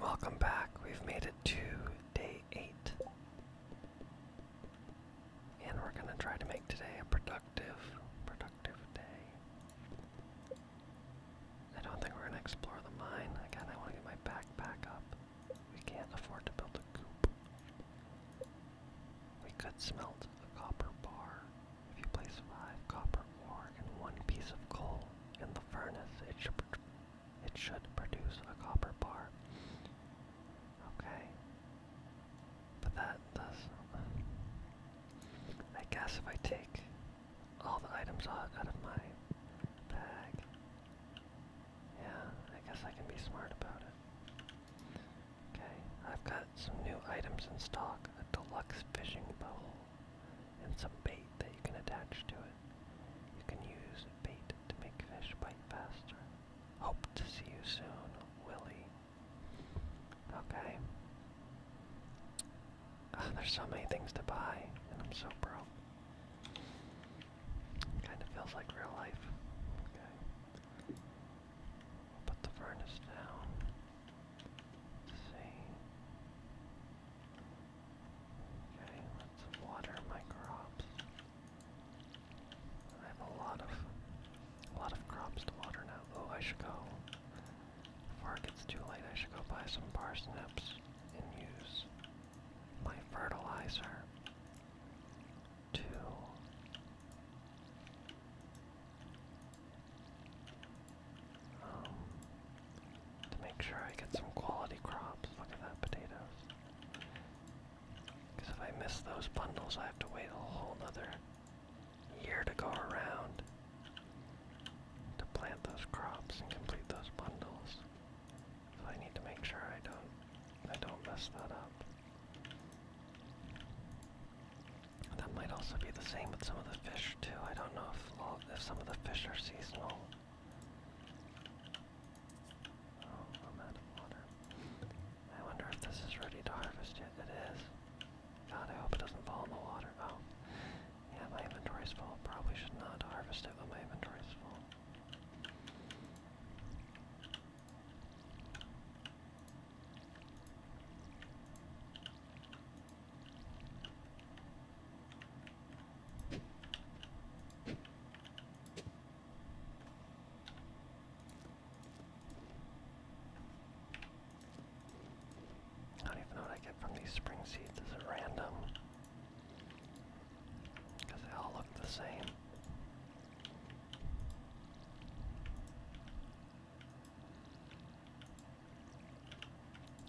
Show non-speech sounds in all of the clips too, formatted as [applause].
Welcome back. We've made it to day eight. And we're going to try to make today a productive, productive day. I don't think we're going to explore the mine. Again, I want to get my backpack up. We can't afford to build a coop. We could smelt a copper bar. If you place five copper ore and one piece of coal in the furnace, it should it should produce a copper bar. Okay. But that does. I guess if I take all the items out, of my bag, yeah, I guess I can be smart about it. Okay, I've got some new items in stock a deluxe fishing bowl, and some bait that you can attach to it. You can use bait to make fish bite faster. Hope to see you soon, Willie. Okay. there's so many things to buy, and I'm so broke. Kind of feels like real life. Okay. Put the furnace down. see. Okay, let water my crops. I have a lot of a lot of crops to water now. Oh, I should go. Before it gets too late, I should go buy some parsnips and use my fertilizer to um, to make sure I get some quality crops. Look at that, potatoes. Because if I miss those bundles, I have to wait a whole other year to go around to plant those crops and complete those bundles. So I need to make sure I don't I don't mess that up. That might also be the same with some of the fish too. I don't know if, if some of the fish are seasonal. Oh, I'm out of water. I wonder if this is ready to harvest yet. It is. God, I hope it doesn't fall in the water. Oh. Yeah, my inventory's full. Probably should not harvest it when my inventory's full. I don't even know what I get from these spring seeds. Is random? Because they all look the same.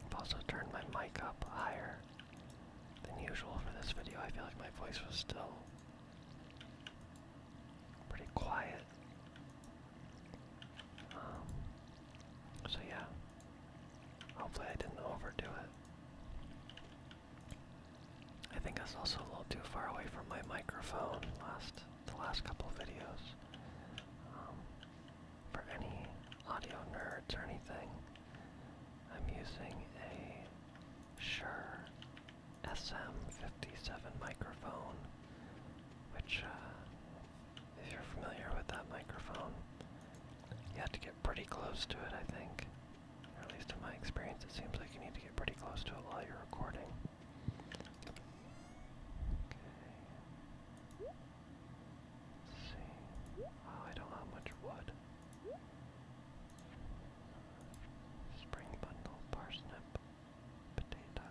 I've also turned my mic up higher than usual for this video. I feel like my voice was still pretty quiet. Um, so yeah, hopefully I didn't overdo it. I think I was also a little too far away from my microphone last the last couple of videos. Um, for any audio nerds or anything, I'm using a Shure SM57 microphone, which, uh, if you're familiar with that microphone, you have to get pretty close to it, I think. Or at least in my experience, it seems like you need to get pretty close to it while you're recording. Let's see. Oh, I don't have much wood. Spring bundle, parsnip, potato,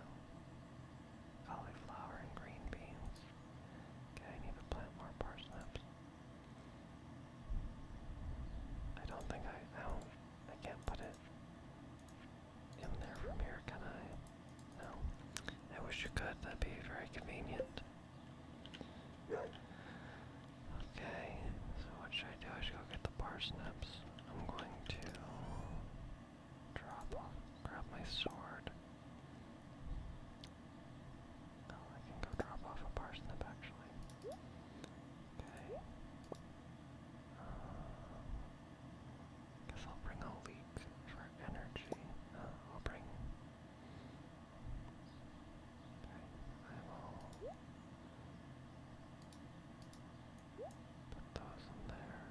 cauliflower, and green beans. Okay, I need to plant more parsnips. I don't think I, I don't, I can't put it in there from here, can I? No. I wish you could, that'd be very convenient. Okay, so what should I do? I should go get the parsnips. I'm going to drop off, grab my sword. Oh, I can go drop off a parsnip actually. Okay. Uh, guess I'll bring a leek for energy. Uh, I'll bring I will put those in there.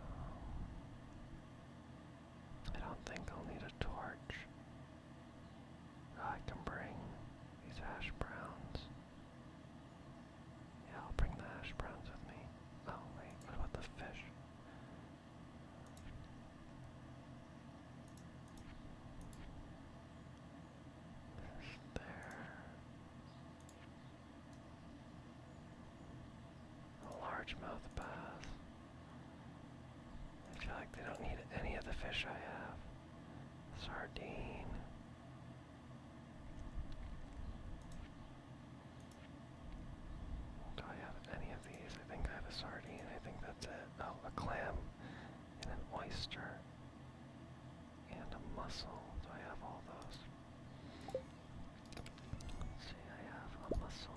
Um, I don't think I'll need a torch. I can bring these hash browns. Yeah, I'll bring the hash browns with me. Oh wait, what about the fish? there. A largemouth bass. I feel like they don't need any of the fish I have. Sardine. Do I have any of these? I think I have a sardine. I think that's it. Oh, a clam and an oyster and a mussel. Do I have all those? see, I have a mussel,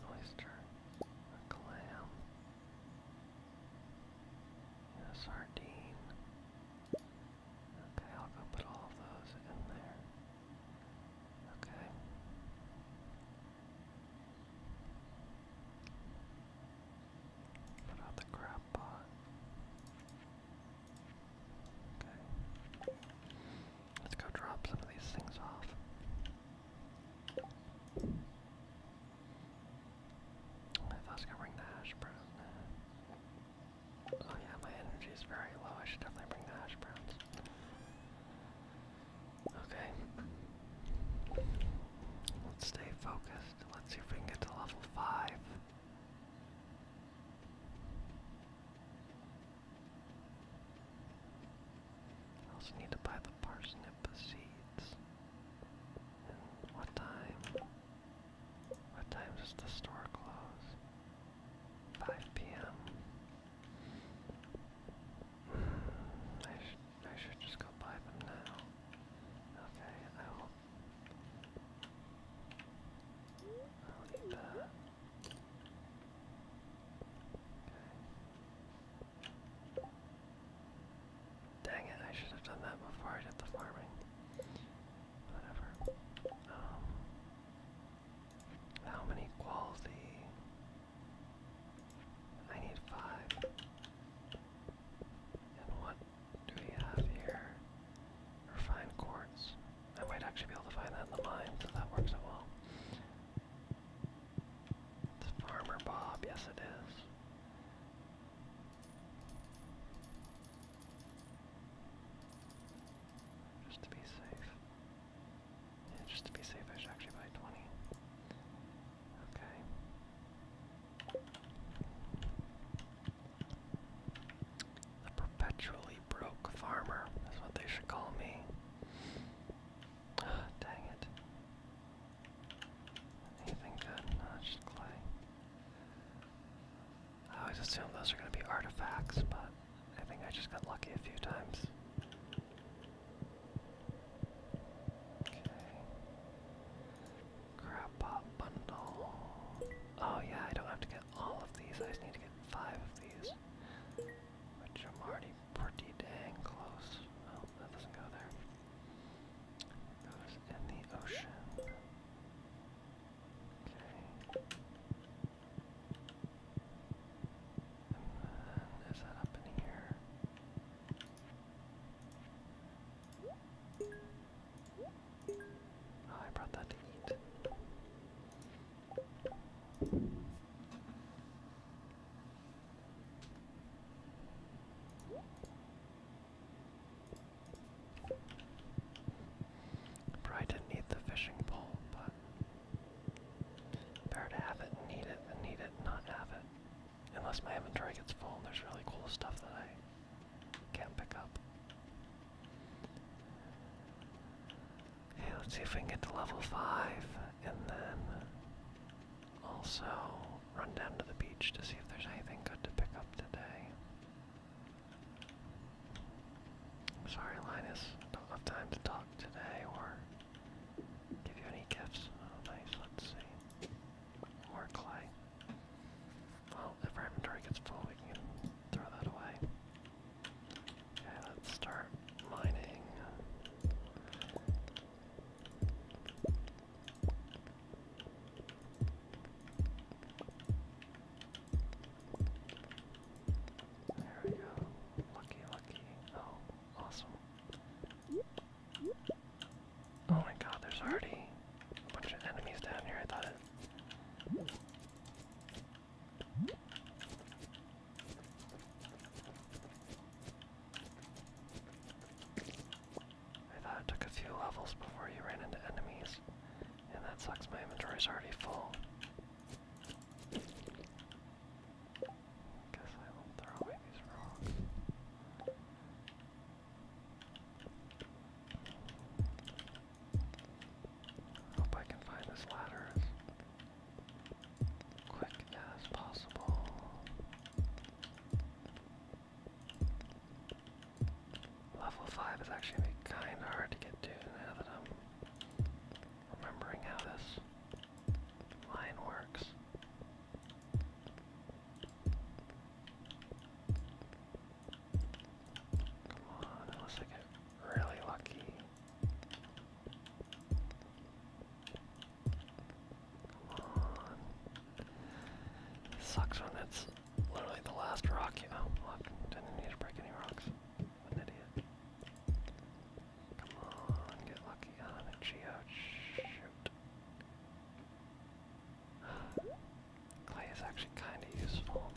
an oyster, a clam, a sardine. Okay, I'll go put all of those in there. Okay. Put out the crab pot. Okay. Let's go drop some of these things off. I was gonna bring the hash browns. Oh yeah, my energy is very low. I should definitely bring the hash browns. Okay. Let's stay focused. Let's see if we can get to level 5. I also need to buy the parsnip seeds. what time? What time does the store close? 5 p.m. I should, I should just go buy them now. Okay, I will. I'll eat that. Okay. Dang it, I should have done that before I did the farming. Whatever. Um, how many quality I need five. And what do we have here? Refined quartz. I might actually be able to find that in the mine, so that works out well. It's Farmer Bob, yes it is. Just to be safe just to be safe, I should actually buy 20. Okay. The perpetually broke farmer is what they should call me. [gasps] dang it. Anything good? just clay. I always assume those are going to be artifacts, but I think I just got lucky a few times. Okay. pop bundle. Oh yeah, I don't have to get all of these. I just need to get five of these. Which I'm already pretty dang close. Oh, that doesn't go there. goes in the ocean. Okay. And that up in here. I brought that to eat. Probably didn't need the fishing pole, but Better to have it, need it, than need it, not have it. Unless my inventory gets full and there's really cool stuff that I can't pick up. Hey, let's see if we can get to level 5 and then also run down to the beach to see if there's anything good to pick up today. Sorry, Linus, don't have time to talk today or Give you any gifts? Oh, nice. Let's see. More clay. Well, if our inventory gets full, we can throw that away. Okay, let's start mining. There we go. Lucky, lucky. Oh, Awesome. Oh my god, there's already a bunch of enemies down here, I thought it... I thought it took a few levels before you ran into enemies, and that sucks, my inventory's already full. Guess I will throw away these rocks. Hope I can find this ladder as quick as possible. Level 5 is actually kind of hard to get to now that I'm remembering how this line works. Come on, unless I get really lucky. Come on. sucks when it's literally the last rock you. Oh, didn't need to break any rocks. idiot. Come on, get lucky on a Geo. Shoot. Clay is actually kind of useful.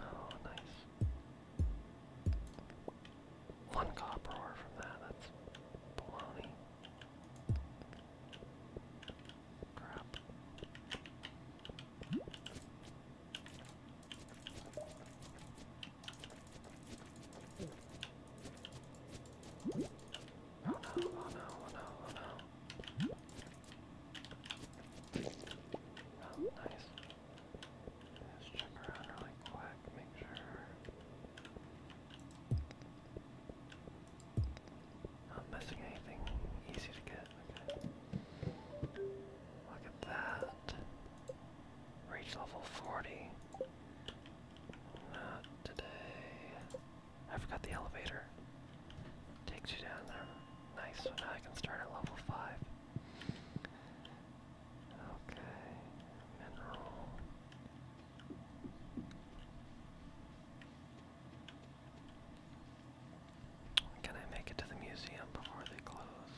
Oh, nice. One copper from that, that's baloney. Crap. Oh no, oh no, oh no, oh no. Oh, nice. Let's check around really quick, make sure i missing anything easy to get. Look at that. Reach level 40. today. I forgot the elevator. Takes you down there. Nice, so now I can start at level 5. Okay, mineral. Can I make it to the museum before they close?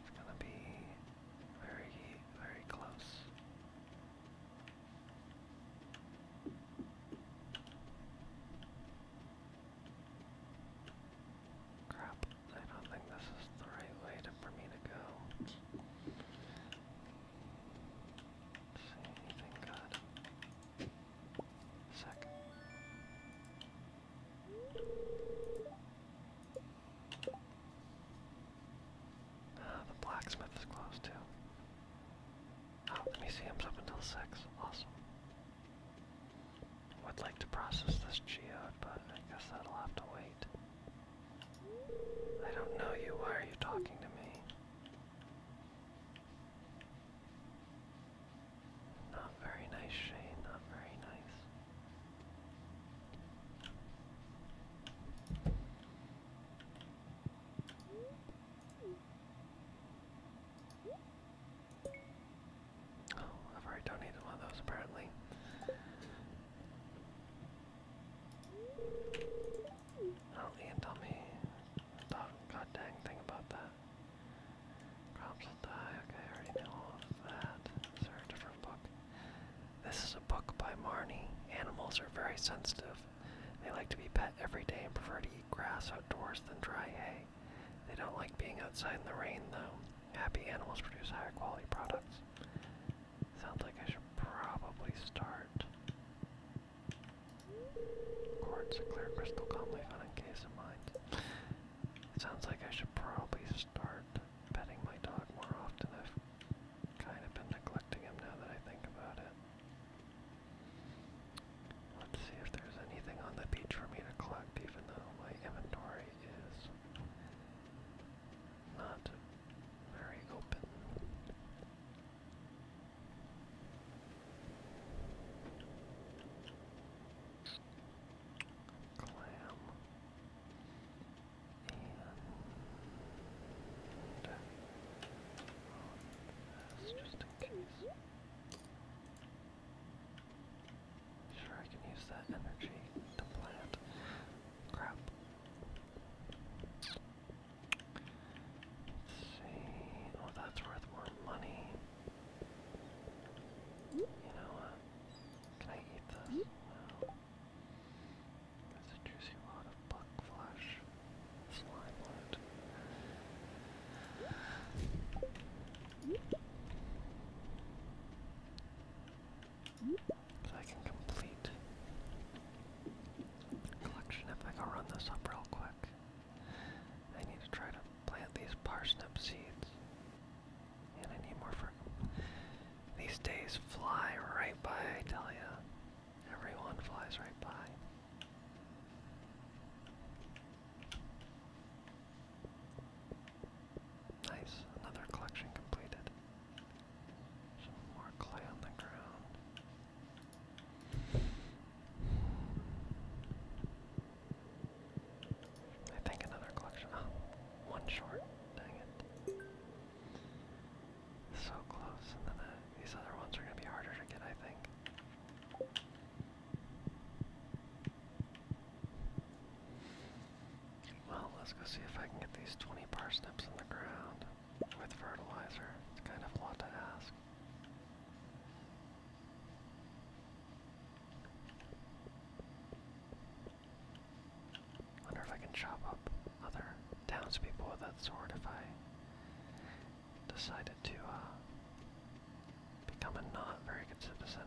It's gonna be very, very close. Crap. I don't think this is the right way for me to go. See anything good? Sick. Ah, the blacksmith is closed too. Ah, the museum's up until 6. Awesome. Would like to process this geode, but I guess that'll have to wait. I don't know you. Why are you talking to me? Not very nice, Shane. Not very nice. Oh, I've already donated one of those apparently. Oh, Ian told me the god thing about that. Crops will die, okay, I already know all of that. Is there a different book? This is a book by Marnie. Animals are very sensitive. They like to be pet every day and prefer to eat grass outdoors than dry hay. They don't like being outside in the rain, though. Happy animals produce higher quality products. Sounds like I should probably start. Quartz, clear crystal calmly found in case of mines. Sounds like I should probably start petting my dog more often. I've kind of been neglecting him now that I think about it. Let's see if there's anything on the beach for me to collect, even though my inventory is not very open. Clam and uh, that's just in case. Sure, I can use that energy to plant. Crap. Let's see. Oh, that's worth more money. You know Can I eat this? No. Mm-hmm. a juicy lot of buck flesh. Slime loot. So I can complete collection if I go run this up real quick. I need to try to plant these parsnip seeds. And I need more for These days fly right by, I tell ya. Everyone flies right by. Nice, another collection completed. more clay on the ground. I think another collection. Oh, one short. Dang it. So close, and then uh, these other ones are going to be harder to get, I think. Well, let's go see if I can get these 20 parsnips in the ground with fertilizer. It's kind of a lot to ask. Wonder if I can chop up other townspeople with that sword if I decided to uh, become a not very good citizen.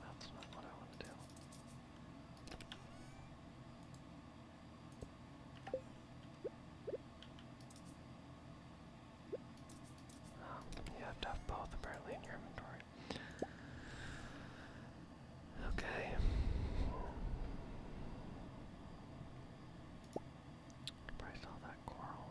That's not what I want um, to do. you have both apparently in your inventory. Okay. Probably saw that coral.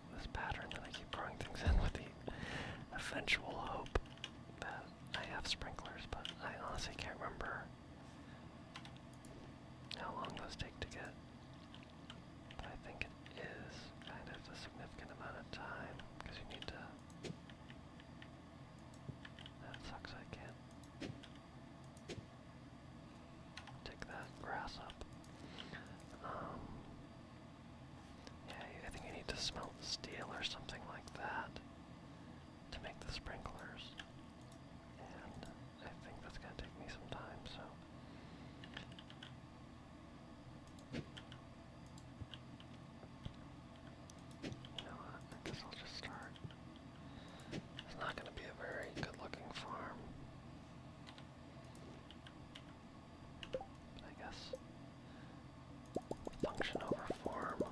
this pattern that I keep throwing things in with the eventual hope that I have sprinklers, but I honestly can't remember how long those take to get. But I think it is kind of a significant amount of time because you need to. That sucks, I can't. Take that grass up. Um, yeah, I think you need to smelt steel or something like that to make the sprinklers. And I think that's gonna take me some time, so. I guess I'll just start. It's not gonna be a very good looking farm. I guess. Function over form.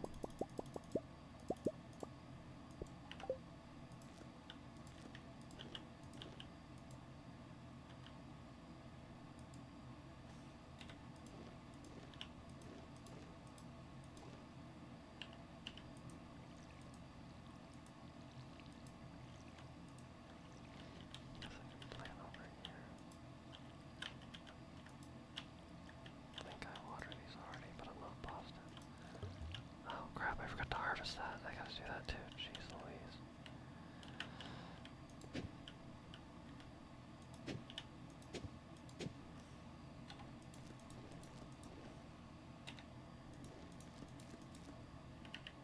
Guess I over here. I think I watered these already, but I'm not positive. Oh crap, I forgot to harvest that. I gotta do that too. Jeez Louise.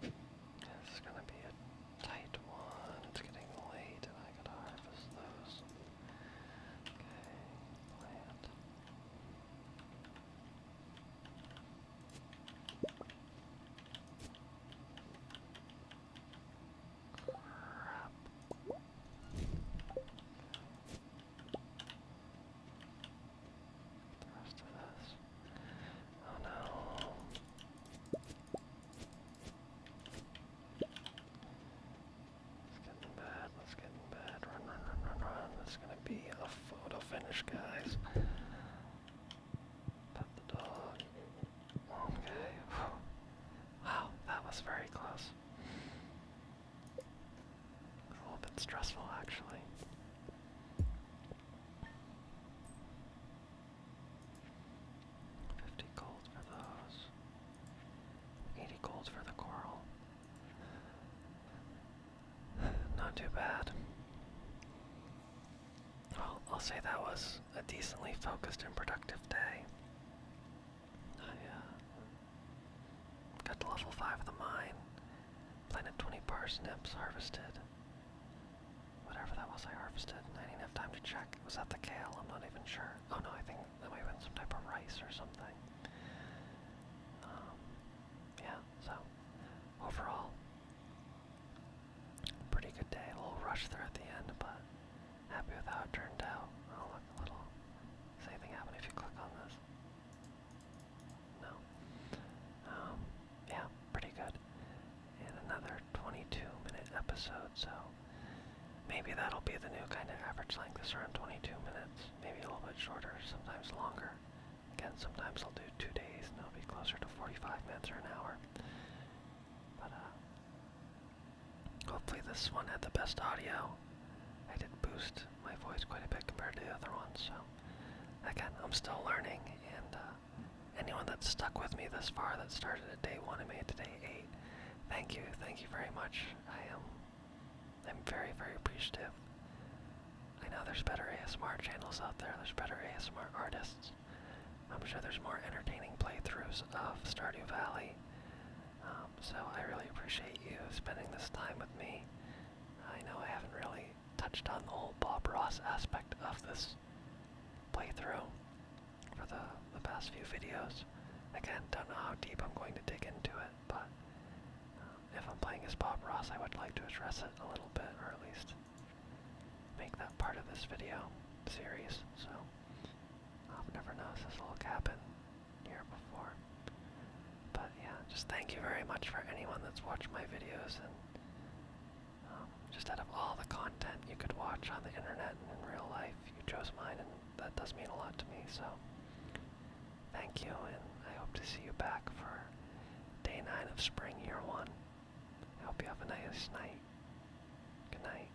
This is gonna be a tight one. It's getting late and I gotta harvest those. Okay, plant. The rest of this. Oh no. It's getting bad, let's get in bed. Run, run, run, run, run. This is gonna be a photo finish, guys. Pet the dog. Okay. Wow, that was very close a little bit stressful, actually. Fifty gold for those. Eighty gold for the coral. [laughs] Not too bad. Well, I'll say that was a decently focused and productive day. I oh, got to level 5 of the mine, planted 20 parsnips, harvested whatever that was I harvested. I didn't have time to check. Was that the kale? I'm not even sure. Oh no, I think that might have been some type of rice or something. Um, yeah, so overall, pretty good day. A little rush there at the end, but happy with how it turned out. I'll look, a little. Same thing happen if you click on this? No. Um, yeah, pretty good. And another 22-minute episode, so maybe that'll be the new kind of average length. Is around 22 minutes, maybe a little bit shorter, sometimes longer. Again, sometimes I'll do two days, and it'll be closer to 45 minutes or an hour. But uh, Hopefully this one had the best audio. I did boost my voice quite a bit compared to the other ones, so again, I'm still learning, and uh, anyone that's stuck with me this far that started at day one and made it to day eight, thank you, thank you very much. I am, I'm very, very appreciative. I know there's better ASMR channels out there, there's better ASMR artists. I'm sure there's more entertaining playthroughs of Stardew Valley. Um, so I really appreciate you spending this time with me. I know I haven't really touched on the whole Bob Ross aspect of this playthrough for the, the past few videos. Again, don't know how deep I'm going to dig into it, but um, if I'm playing as Bob Ross, I would like to address it a little bit, or at least make that part of this video series. So, i um, never knows, this will happen here before. But yeah, just thank you very much for anyone that's watched my videos and um, just out of all the content you could watch on the internet and in real life, you chose mine and that does mean a lot to me. So thank you and I hope to see you back for day 9 of spring year 1. I hope you have a nice night. Good night.